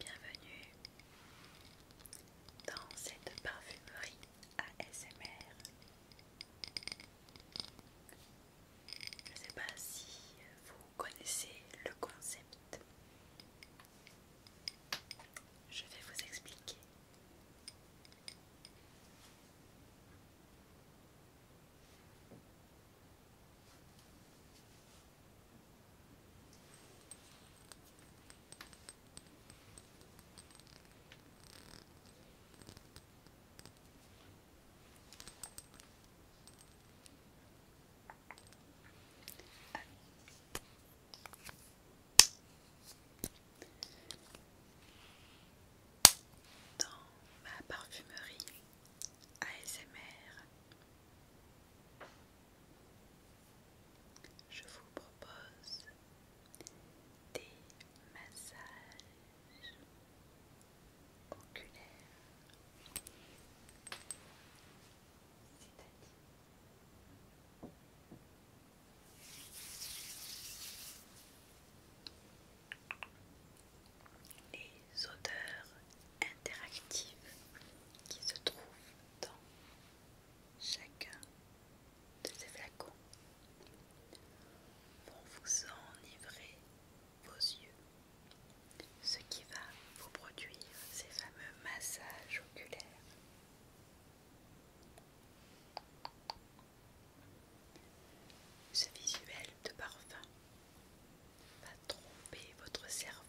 Bienvenue dans cette parfumerie ASMR. Je ne sais pas si vous connaissez le concept. Je vais vous expliquer. Dans ma parfumerie, ASMR. Je vous propose des massages oculaires, c'est-à-dire les odeurs interactives qui se trouvent dans chacun de ces flacons vont vous enivrer vos yeux, ce qui va vous produire ces fameux massages oculaires. Ce visuel de parfum va tromper votre cerveau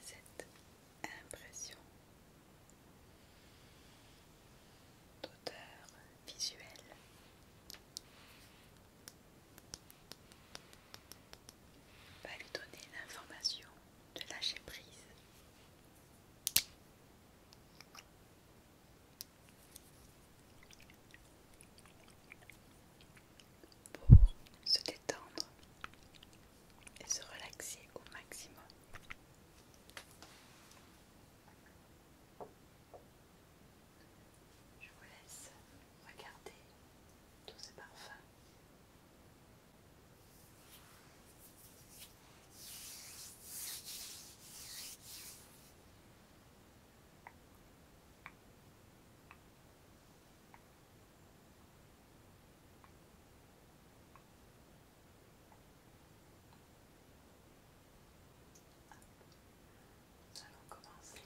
7 impression d'auteur visuelle. Va lui donner l'information de lâcher prise. Pour se détendre et se relaxer au maximum. Je vous laisse regarder tous ces parfums. Nous allons commencer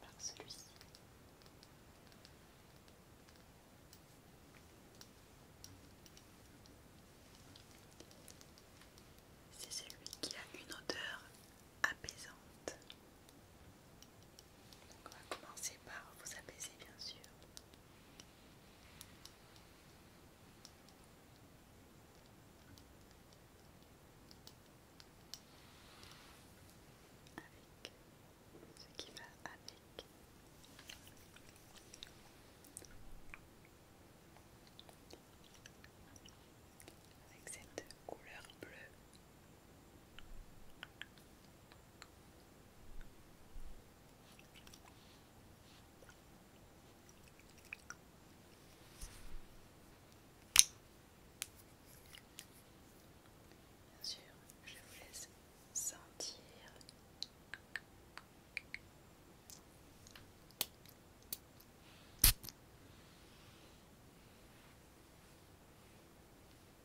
par celui-ci. C'est celui qui a une odeur apaisante. on va commencer par vous apaiser bien sûr. Avec ce qui va Avec cette couleur bleue Bien sûr, je vous laisse sentir.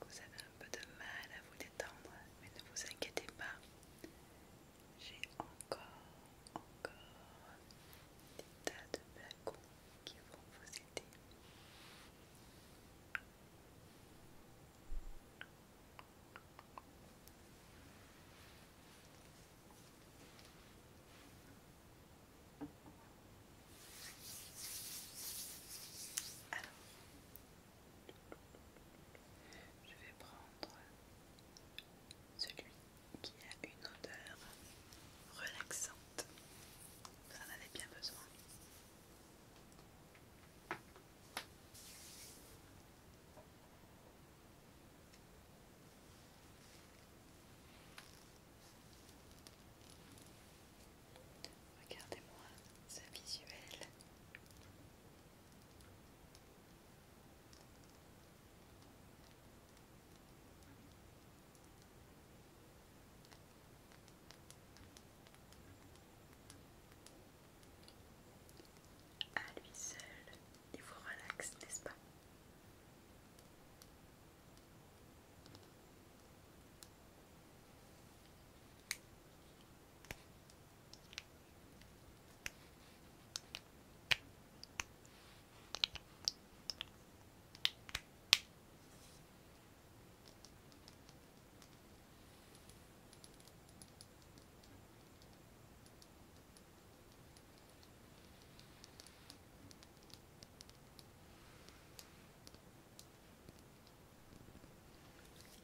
que vous avez un peu de mal à vous détendre, mais ne vous inquiétez pas. J'ai encore, encore des tas de flacons qui vont vous aider. Alors, je vais prendre celui qui a une odeur relaxante. Vous en avez bien besoin. Regardez-moi ce visuel. À lui seul, il vous relaxe, n'est-ce pas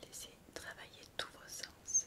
Laissez travailler tous vos sens.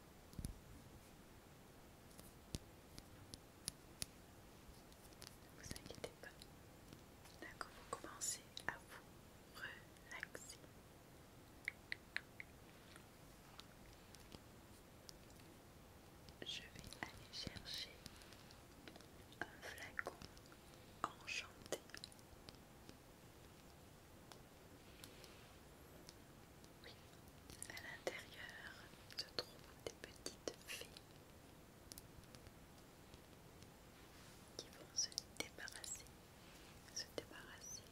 Ne vous inquiétez pas. D'accord, vous commencez à vous relaxer. Je vais aller chercher un flacon enchanté à l'intérieur se trouvent des petites filles qui vont se débarrasser, se débarrasser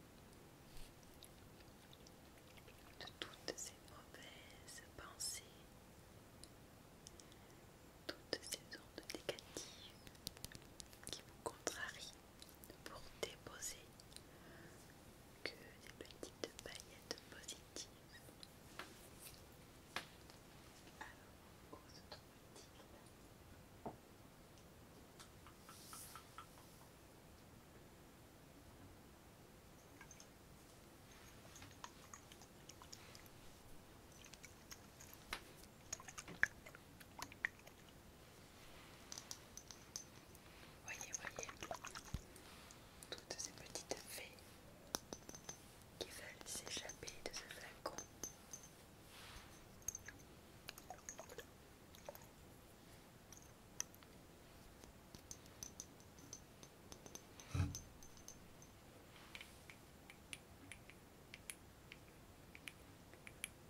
de toutes ces mauvaises pensées, toutes ces ondes négatives qui vous contrarient pour déposer que des petites paillettes positives. Voyez, voyez, toutes ces petites fées qui veulent s'échapper de ce flacon.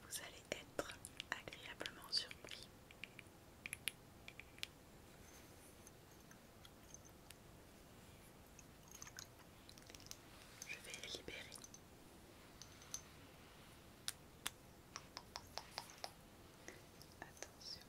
Vous allez être agréablement surpris. Je vais libérer. Attention.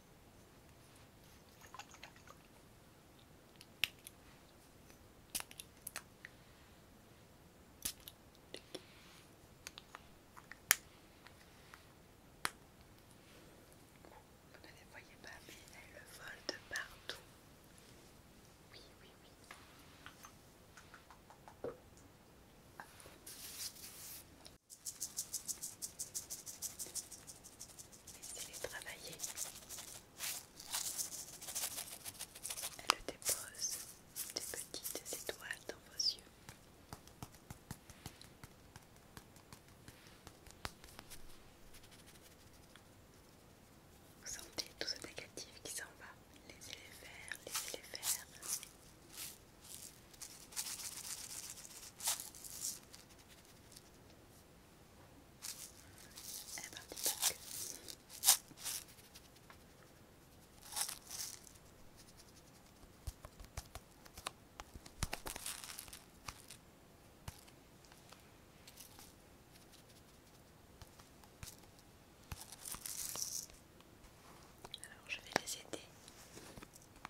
Vous ne les voyez pas, mais le vol de partout. Oui, oui, oui. Laissez-les travailler. Elle dépose des petites étoiles dans vos yeux. Vous sentez tout ce négatif qui s'en va, laissez-les faire, laissez-les faire. Elle est alors je vais les aider à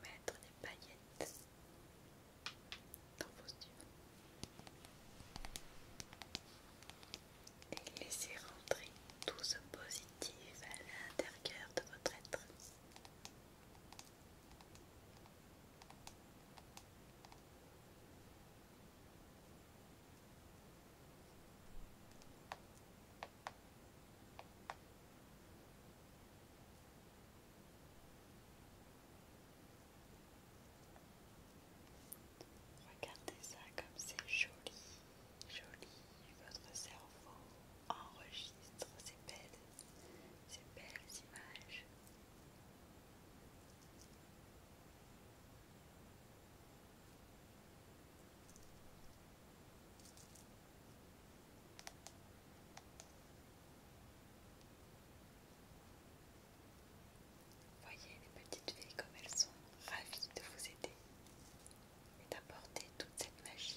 mettre des paillettes dans vos et laissez rentrer tout ce positif à l'intérieur de votre être. Regardez ça comme c'est joli, joli. Votre cerveau enregistre ces belles, ces belles images. Voyez les petites filles comme elles sont ravies de vous aider et d'apporter toute cette magie.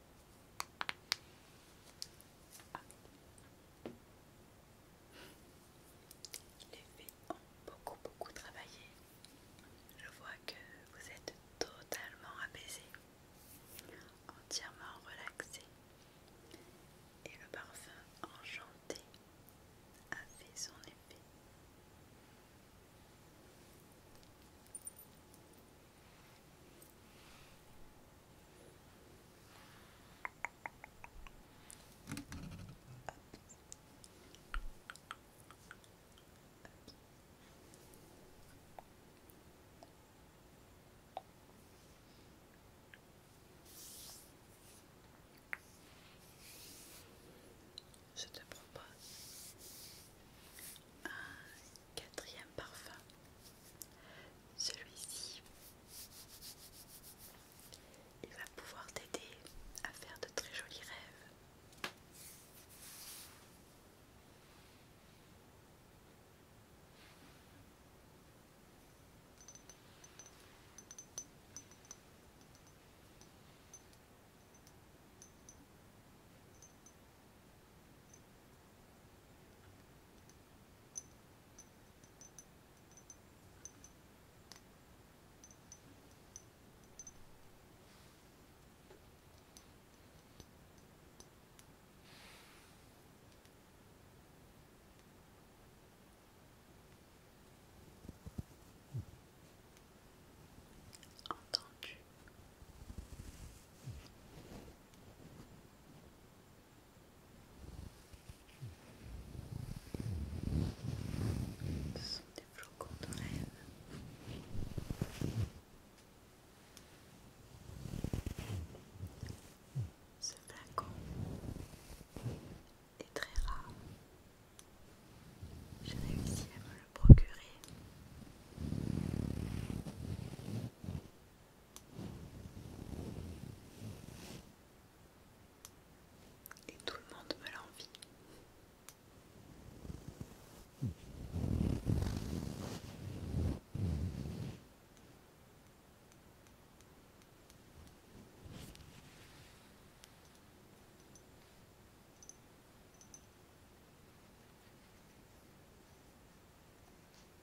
Il Les ont beaucoup beaucoup travaillé. Je vois que vous êtes totalement apaisé, entièrement relaxé Et le parfum enchanté a fait son effet. Je te propose Quatrième parfum, celui-ci, il va pouvoir t'aider à faire de très jolis rêves. Entendu. Ce sont des flocons de rêve. Ce dragon est très rare. J'ai réussi à me le procurer. Et tout le monde me l'envie.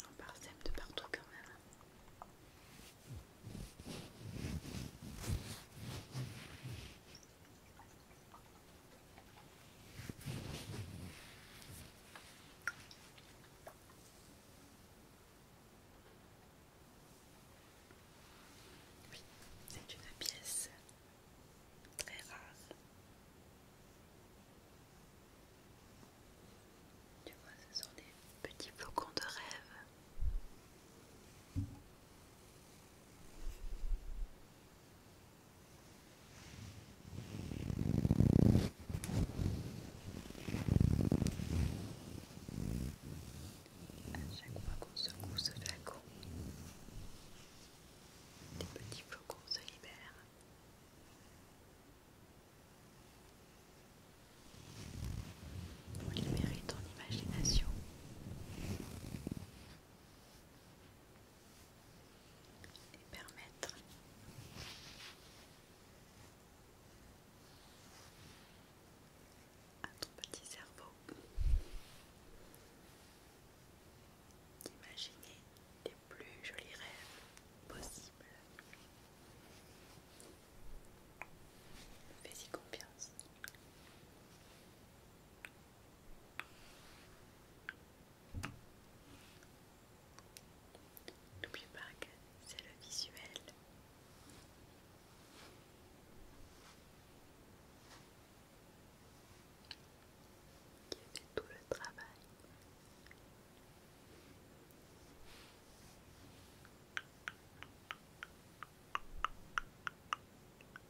J'en parsème de partout quand même c'est une pièce très rare. Tu vois, ce sont des petits flocons de rêve. À chaque fois qu'on secoue ce flacon, des petits flocons se libèrent. Libérer ton imagination et permettre à ton petit cerveau d'imaginer les plus jolis rêves possibles. Fais-y confiance. N'oubliez pas que c'est le visuel. Qui fait tout le travail.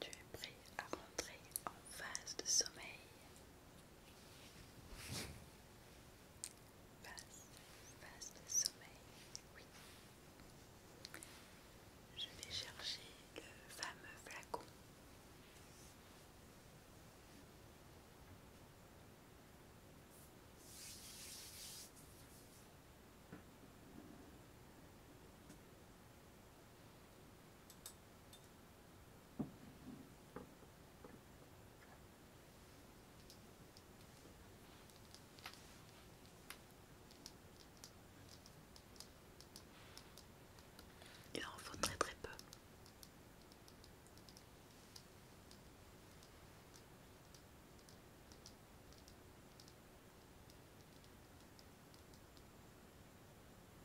Tu es prêt à rentrer en phase de sommeil. Passe, de sommeil, oui. Je vais chercher le fameux flacon. Il en faut très très peu.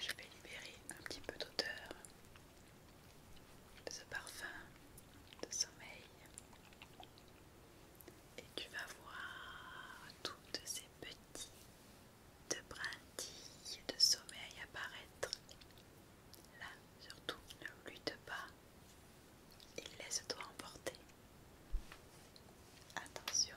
Je vais libérer un petit peu d'odeur de ce parfum de sommeil et tu vas voir toutes ces petites brindilles de sommeil apparaître. Là, surtout, ne lutte pas et laisse-toi emporter. Attention,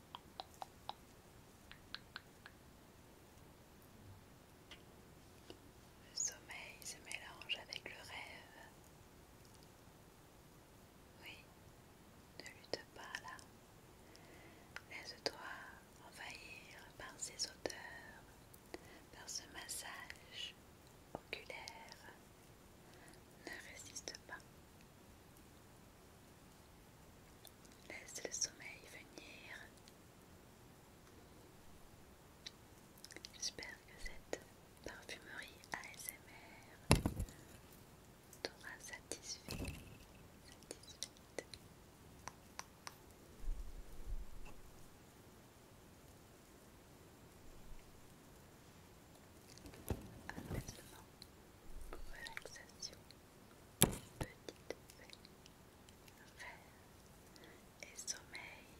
Le sommeil se mélange avec le rêve. Oui, ne lutte pas là. Laisse-toi envahir par ces odeurs, par ce massage oculaire. Ne résiste pas. Laisse le sommeil venir. J'espère que cette parfumerie ASMR t'aura satisfait. relaxation petite fée, rêve et sommeil.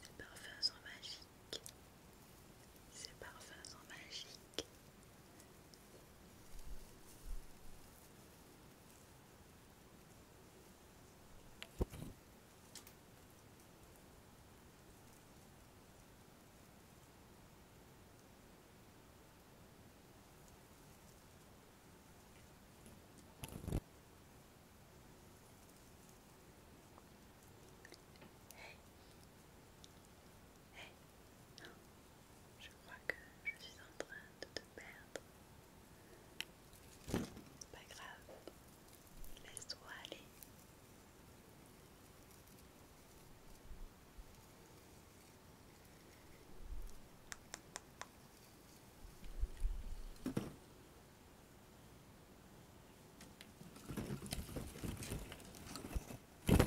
Ses parfums sont magiques. Ces parfums sont magiques. Je crois que je suis en train de te perdre. Pas grave, laisse-toi aller. Voilà.